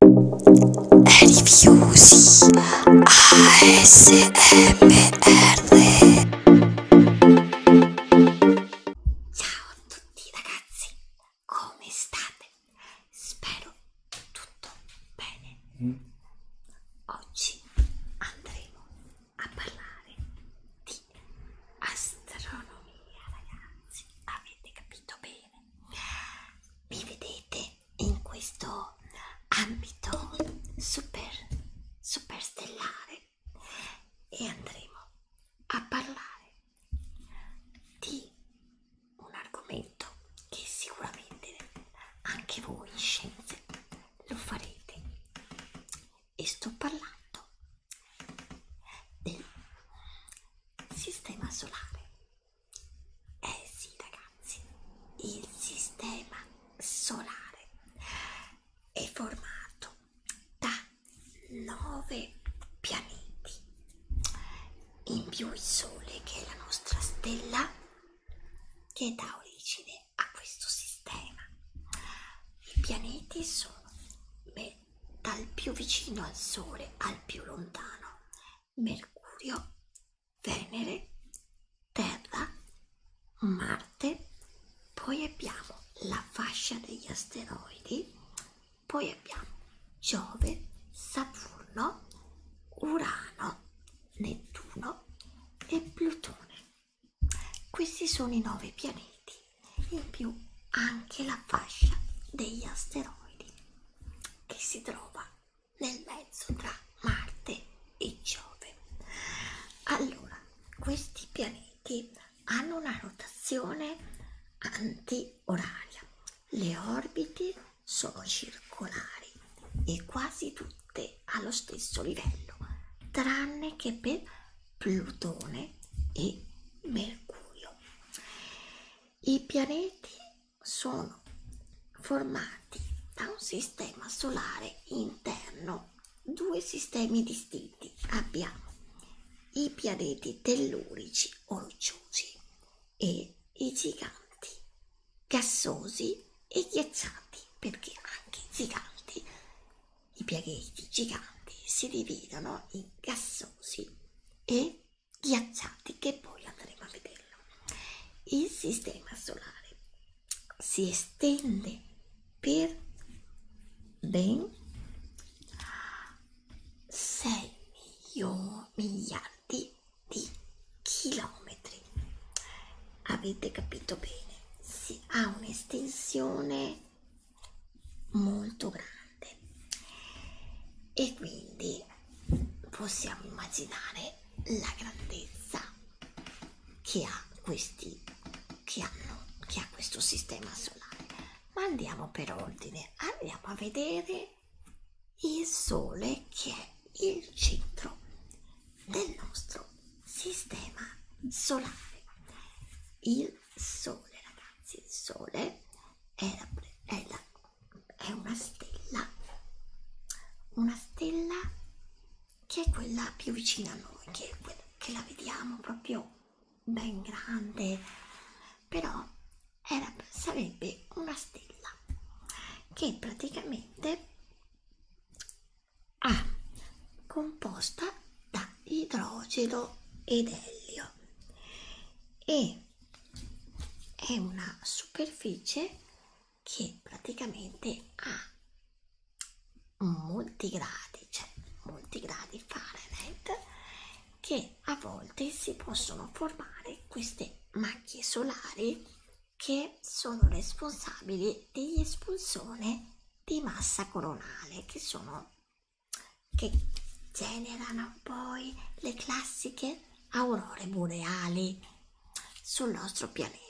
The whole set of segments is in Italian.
Rifiusi ASMR Ciao a tutti ragazzi, come state? Spero tutto bene. Mm. Oggi andremo a parlare di astronomia ragazzi, avete capito bene? mi vedete in questo ambito super super stellare e andremo a parlare di un argomento che sicuramente anche voi in scienze lo farete e sto parlando del sistema solare eh sì ragazzi, il sistema solare è formato da nove pianeti, in più il Sole che è la nostra stella che dà origine a questo sistema. I pianeti sono beh, dal più vicino al Sole al più lontano Mercurio, Venere, Terra, Marte, poi abbiamo la fascia degli asteroidi, poi abbiamo Giove, Saturno, Urano, Nettuno e Plutone. Questi sono i nove pianeti, in più anche la fascia degli asteroidi che si trova nel mezzo tra Marte e Giove. Allora, questi pianeti hanno una rotazione antioraria, le orbite sono circolari e quasi tutte allo stesso livello, tranne che per Plutone e Mercurio. I pianeti sono formati da un sistema solare interno, due sistemi distinti. Abbiamo i pianeti tellurici rocciosi e i giganti gassosi e ghiacciati, perché anche i giganti, i pianeti giganti si dividono in gassosi e ghiacciati che poi andremo a vederlo. Il sistema solare si estende per ben 6 miliardi di chilometri. Avete capito bene? Si ha un'estensione molto grande grande e quindi possiamo immaginare la grandezza che ha questi che hanno che ha questo sistema solare ma andiamo per ordine andiamo a vedere il sole che è il centro del nostro sistema solare il sole ragazzi il sole era, è, la, è una stella, una stella che è quella più vicina a noi, che, è quella, che la vediamo proprio ben grande, però era, sarebbe una stella che praticamente ha composta da idrogeno ed elio e è una superficie che praticamente ha molti gradi, cioè molti gradi Fahrenheit, che a volte si possono formare queste macchie solari che sono responsabili dell'espulsione di massa coronale, che sono che generano poi le classiche aurore boreali sul nostro pianeta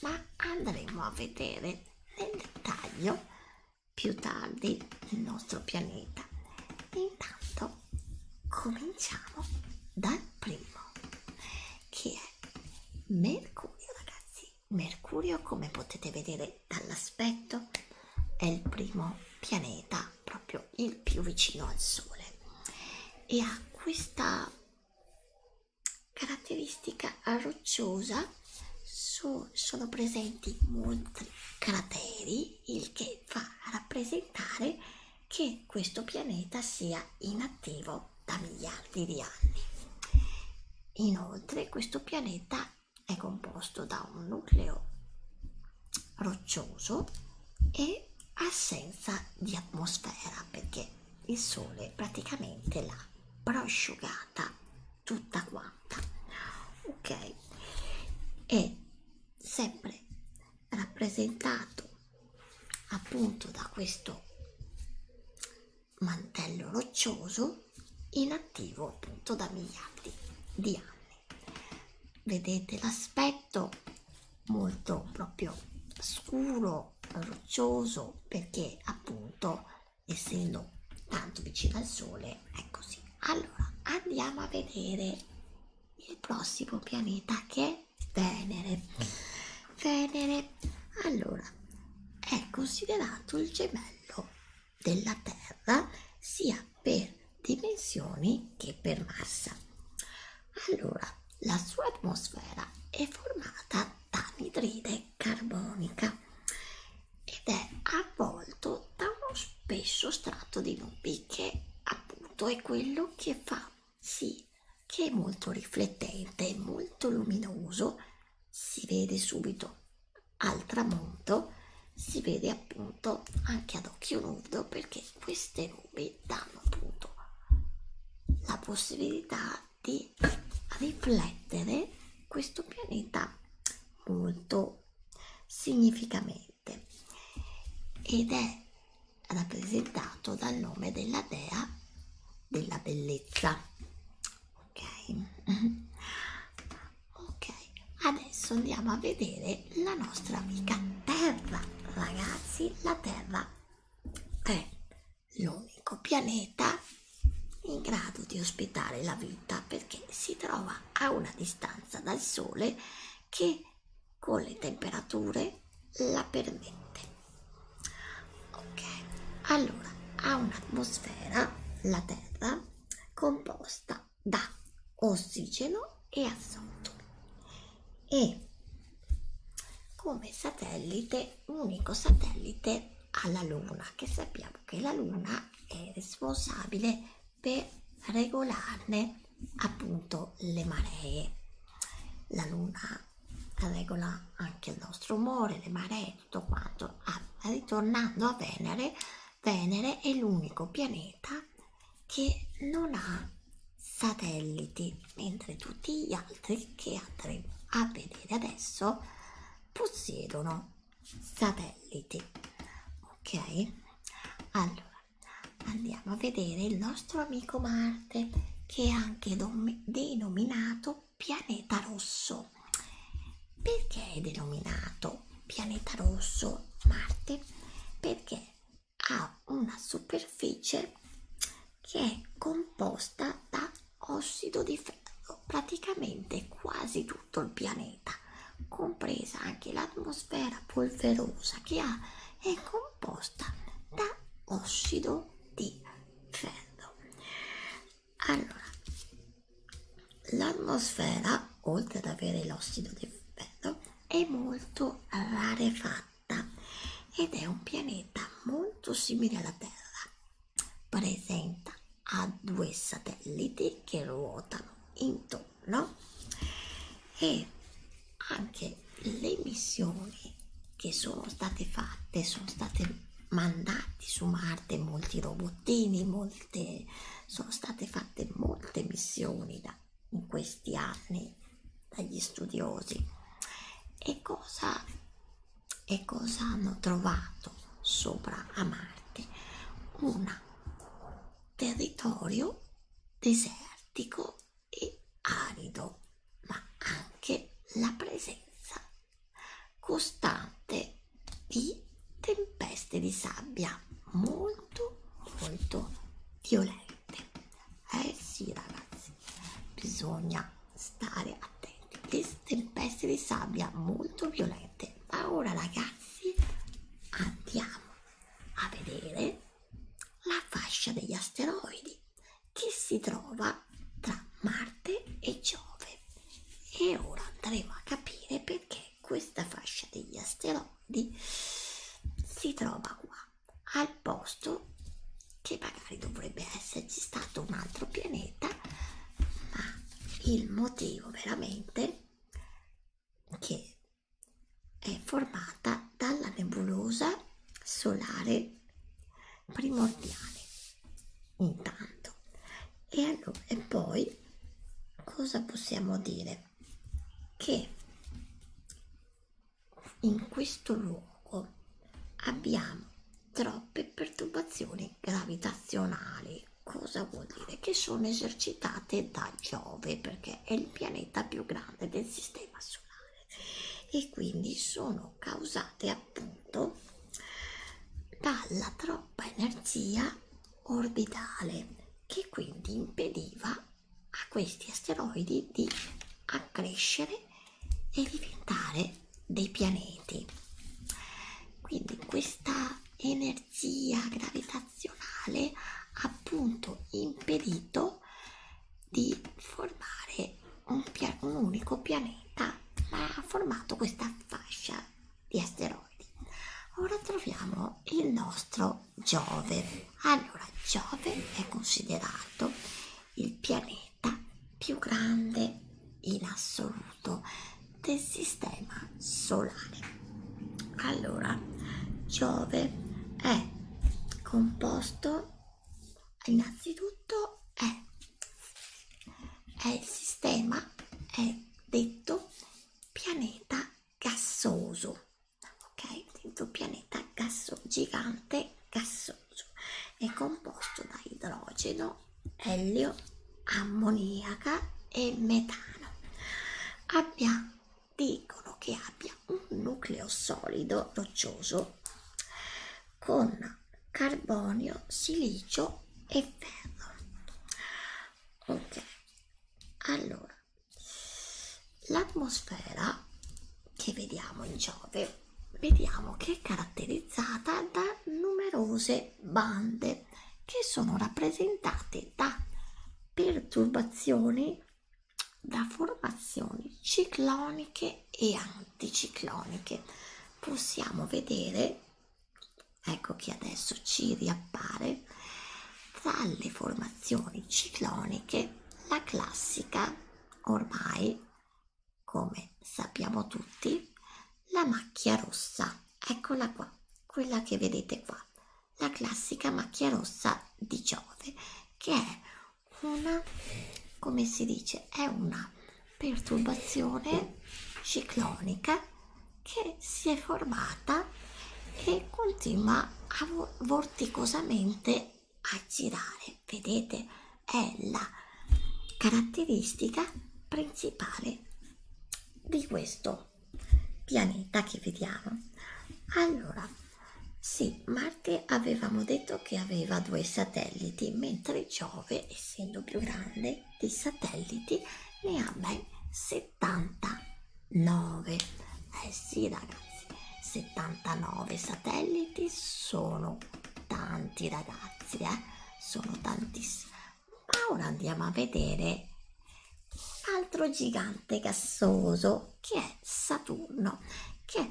ma andremo a vedere nel dettaglio più tardi il nostro pianeta intanto cominciamo dal primo che è mercurio ragazzi mercurio come potete vedere che dall'aspetto è il primo pianeta proprio il più vicino al Sole e ha questa caratteristica rocciosa so, sono presenti molti crateri il che fa rappresentare che questo pianeta sia inattivo da miliardi di anni inoltre questo pianeta è composto da un nucleo roccioso e assenza di atmosfera perché il sole praticamente l'ha prosciugata tutta quanta ok è sempre rappresentato appunto da questo mantello roccioso inattivo appunto da miliardi di anni. Vedete l'aspetto molto proprio scuro, roccioso, perché appunto essendo tanto vicino al sole è così. Allora andiamo a vedere il prossimo pianeta che è Venere. Venere, allora, è considerato il gemello della Terra sia per dimensioni che per massa. Allora, la sua atmosfera è formata dall'idride carbonica ed è avvolto da uno spesso strato di nubi che appunto è quello che fa sì che è molto riflettente, molto luminoso, si vede subito al tramonto si vede appunto anche ad occhio nudo perché queste nubi danno appunto la possibilità di riflettere questo pianeta molto significamente ed è rappresentato dal nome della dea della bellezza ok ok adesso andiamo a vedere la nostra amica terra ragazzi la terra è l'unico pianeta in grado di ospitare la vita perché si trova a una distanza dal sole che con le temperature la permette ok allora ha un'atmosfera la terra composta da ossigeno e azoto e come satellite unico satellite alla luna che sappiamo che la luna è responsabile per regolarne appunto le maree la luna regola anche il nostro umore le maree tutto quanto ah, ritornando a venere Venere è l'unico pianeta che non ha satelliti, mentre tutti gli altri che andremo a vedere adesso possiedono satelliti. Ok? Allora, andiamo a vedere il nostro amico Marte, che è anche denominato pianeta rosso rosso perché è denominato pianeta rosso Marte? Perché ha una superficie che è composta da ossido di ferro, praticamente quasi tutto il pianeta, compresa anche l'atmosfera polverosa che ha, è composta da ossido di ferro allora l'atmosfera oltre ad avere l'ossido di ferro è molto rarefatta ed è un pianeta molto simile alla terra presenta a due satelliti che ruotano intorno e anche le missioni che sono state fatte sono state mandati su Marte molti robottini molti molte, sono state fatte molte missioni da, in questi anni dagli studiosi e cosa, e cosa hanno trovato sopra a Marte? Un territorio desertico e arido, ma anche la presenza costante di tempeste di sabbia molto molto violente eh sì ragazzi bisogna stare attenti le tempeste di sabbia molto violente ma ora ragazzi andiamo a vedere la fascia degli asteroidi che si trova tra Marte e Giove e ora andremo a capire perché questa fascia degli asteroidi si trova qua al posto che magari dovrebbe esserci stato un altro pianeta ma il motivo veramente che è formata dalla nebulosa solare primordiale intanto e, allora, e poi cosa possiamo dire che in questo luogo abbiamo troppe perturbazioni gravitazionali cosa vuol dire che sono esercitate da giove perché è il pianeta più grande del sistema solare e quindi sono causate appunto dalla troppa energia orbitale che quindi impediva a questi asteroidi di accrescere e diventare dei pianeti quindi questa energia gravitazionale ha appunto impedito di formare un, un unico pianeta ma ha formato questa fascia di asteroidi. Ora troviamo il nostro Giove. Allora, Giove è considerato il pianeta più grande in assoluto del sistema solare. Allora, Giove è composto innanzitutto è è il sistema è detto pianeta gassoso ok detto pianeta gasso gigante gassoso è composto da idrogeno elio ammoniaca e metano abbia dicono che abbia un nucleo solido roccioso con carbonio, silicio e ferro. Ok, allora l'atmosfera che vediamo in Giove vediamo che è caratterizzata da numerose bande che sono rappresentate da perturbazioni da formazioni cicloniche e anticicloniche possiamo vedere Ecco che adesso ci riappare tra le formazioni cicloniche la classica, ormai come sappiamo tutti, la macchia rossa. Eccola qua, quella che vedete qua, la classica macchia rossa di Giove, che è una, come si dice, è una perturbazione ciclonica che si è formata e continua a vorticosamente a girare. Vedete, è la caratteristica principale di questo pianeta che vediamo. Allora, sì, Marte avevamo detto che aveva due satelliti, mentre Giove, essendo più grande, di satelliti ne ha ben 79 eh sì ragazzi 79 satelliti sono tanti ragazzi eh? sono tantissimi ma ora andiamo a vedere un altro gigante gassoso che è Saturno che è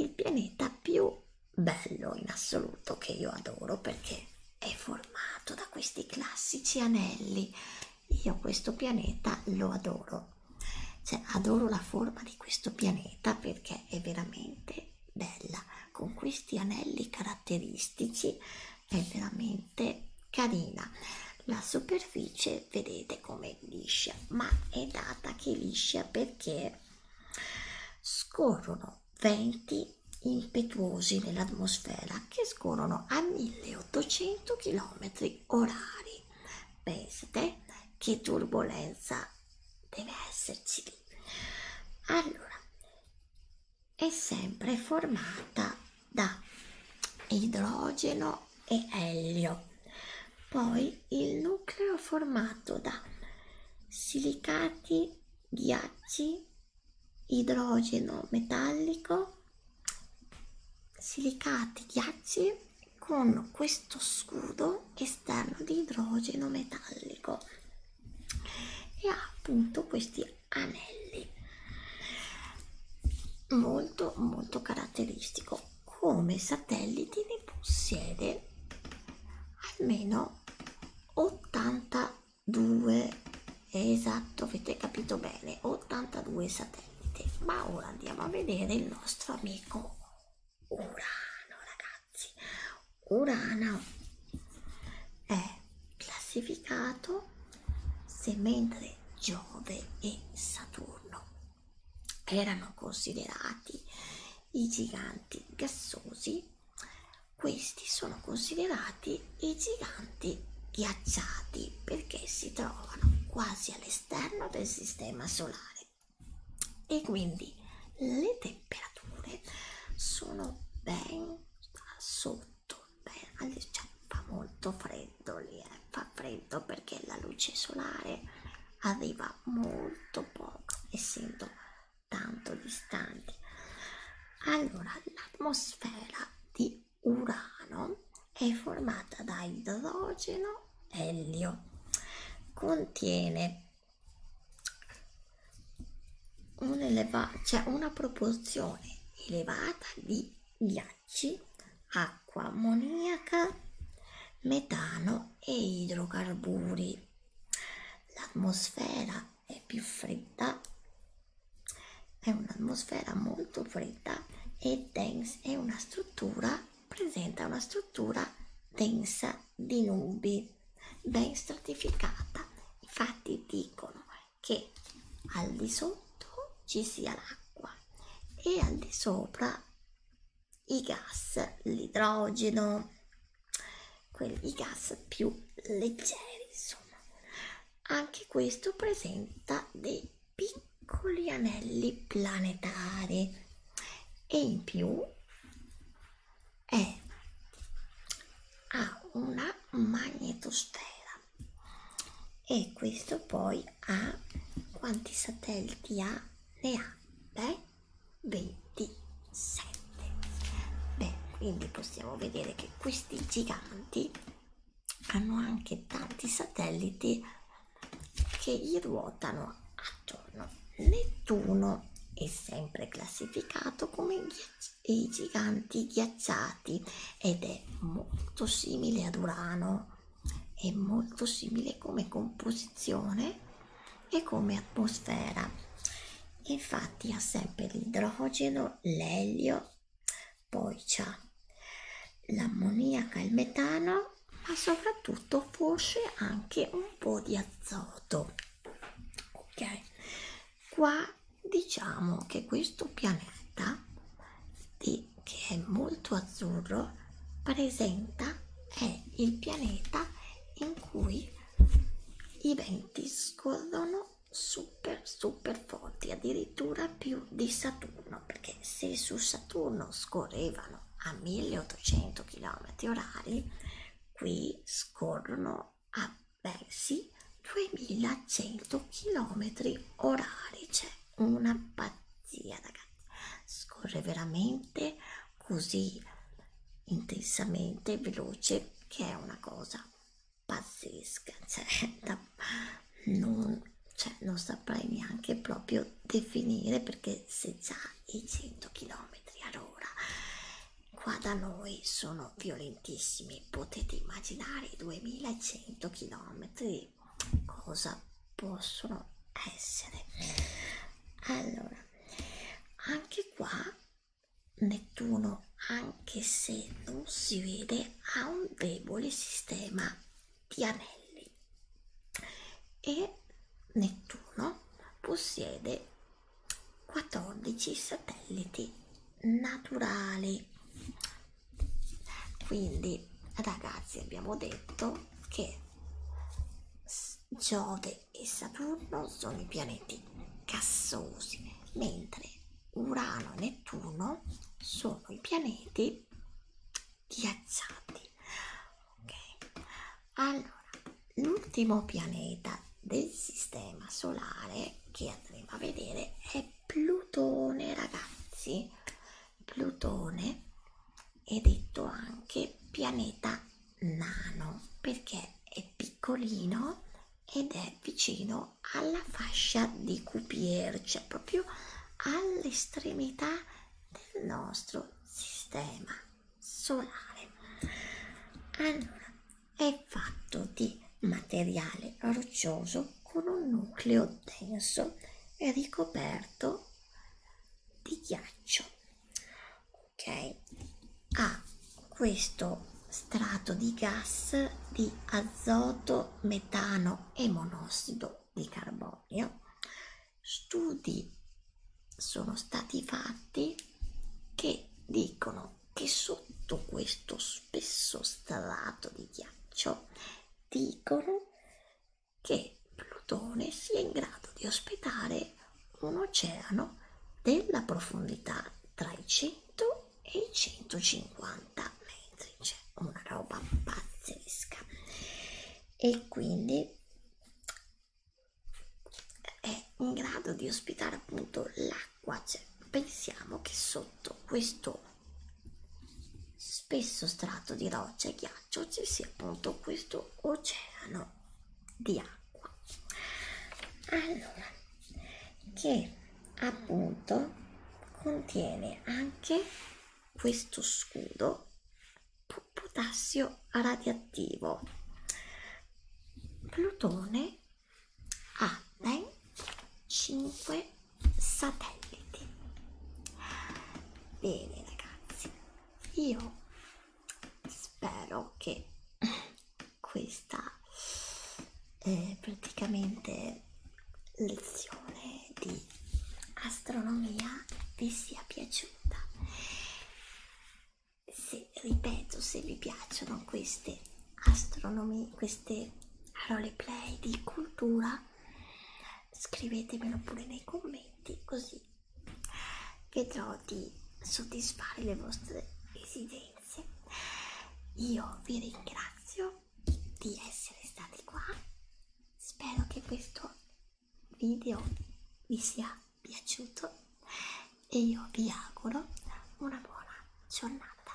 il pianeta più bello in assoluto che io adoro perché è formato da questi classici anelli io questo pianeta lo adoro cioè adoro la forma di questo pianeta perché è veramente bella con questi anelli caratteristici è veramente carina la superficie vedete come liscia ma è data che liscia perché scorrono sono venti impetuosi nell'atmosfera che scorrono a 1800 km orari. Pensate che turbolenza deve esserci lì. Allora, è sempre formata da idrogeno e elio. Poi il nucleo formato da silicati solidi, ghiacci, idrogeno metallico, silicati ghiacci con questo scudo esterno di idrogeno metallico e ha appunto questi anelli molto molto caratteristico come satelliti ne possiede almeno 82 esatto avete capito bene 82 satelliti ma ora andiamo a vedere il nostro amico urano ragazzi urano è classificato se mentre giove e saturno erano considerati i giganti gassosi questi sono considerati i giganti ghiacciati perché si trovano quasi all'esterno del sistema solare e quindi le temperature sono ben sotto, ben, cioè, fa molto freddo lì, eh? fa freddo perché la luce solare arriva molto poco essendo tanto distanti. Allora, l'atmosfera di Urano è formata da idrogeno e elio. Contiene un eleva cioè una proporzione elevata di ghiacci, acqua ammoniaca, metano e idrocarburi l'atmosfera è più fredda è un'atmosfera molto fredda e densa è una struttura presenta una struttura densa di nubi ben stratificata infatti dicono che al di sotto ci sia l'acqua e al di sopra i gas, l'idrogeno, i gas più leggeri, insomma. Anche questo presenta dei piccoli anelli planetari e in più è, ha una magnetosfera e questo poi ha quanti satelliti ha? Ne ha? Beh, 27 beh quindi possiamo vedere che questi giganti hanno anche tanti satelliti che gli ruotano attorno Nettuno è sempre classificato come i giganti ghiacciati ed è molto simile ad Urano è molto simile come composizione e come atmosfera infatti ha sempre l'idrogeno l'elio poi c'è l'ammoniaca il metano ma soprattutto forse anche un po di azoto ok qua diciamo che questo pianeta che è molto azzurro presenta è il pianeta in cui i venti scorrono super super forti addirittura più di Saturno perché se su Saturno scorrevano a 1800 km orari qui scorrono a versi 2100 km orari c'è una pazzia ragazzi scorre veramente così intensamente veloce che è una cosa pazzesca cioè, da, non, cioè, non saprei neanche proprio definire perché se già i 100 km all'ora qua da noi sono violentissimi potete immaginare i 2100 km cosa possono essere allora anche qua Nettuno anche se non si vede ha un debole sistema di anelli e Nettuno possiede 14 satelliti naturali quindi ragazzi abbiamo detto che Giove e Saturno sono i pianeti gassosi, mentre Urano e Nettuno sono i pianeti ghiacciati. Okay. Allora, l'ultimo pianeta del sistema solare che andremo a vedere è Plutone, ragazzi. Plutone è detto anche pianeta nano perché è piccolino ed è vicino alla fascia di Cupier, cioè proprio all'estremità del nostro sistema solare. Allora, è fatto di materiale roccioso con un nucleo denso e ricoperto di ghiaccio ok ha questo strato di gas di azoto metano e monossido di carbonio studi sono stati fatti che dicono che sotto questo spesso strato di ghiaccio dicono che Plutone sia in grado di ospitare un oceano della profondità tra i 100 e i 150 metri, cioè una roba pazzesca. E quindi è in grado di ospitare appunto l'acqua, cioè pensiamo che sotto questo spesso strato di roccia e ghiaccio ci sia appunto questo questo oceano di acqua allora che appunto contiene anche questo scudo potassio radioattivo plutone ha ben 5 satelliti bene ragazzi io spero che questa eh, praticamente lezione di astronomia vi sia piaciuta se ripeto se vi piacciono queste astronomie queste roleplay di cultura scrivetemelo pure nei commenti così vedrò di soddisfare le vostre esigenze io vi ringrazio di essere stati qua spero che questo video vi sia piaciuto e io vi auguro una buona giornata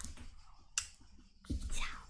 ciao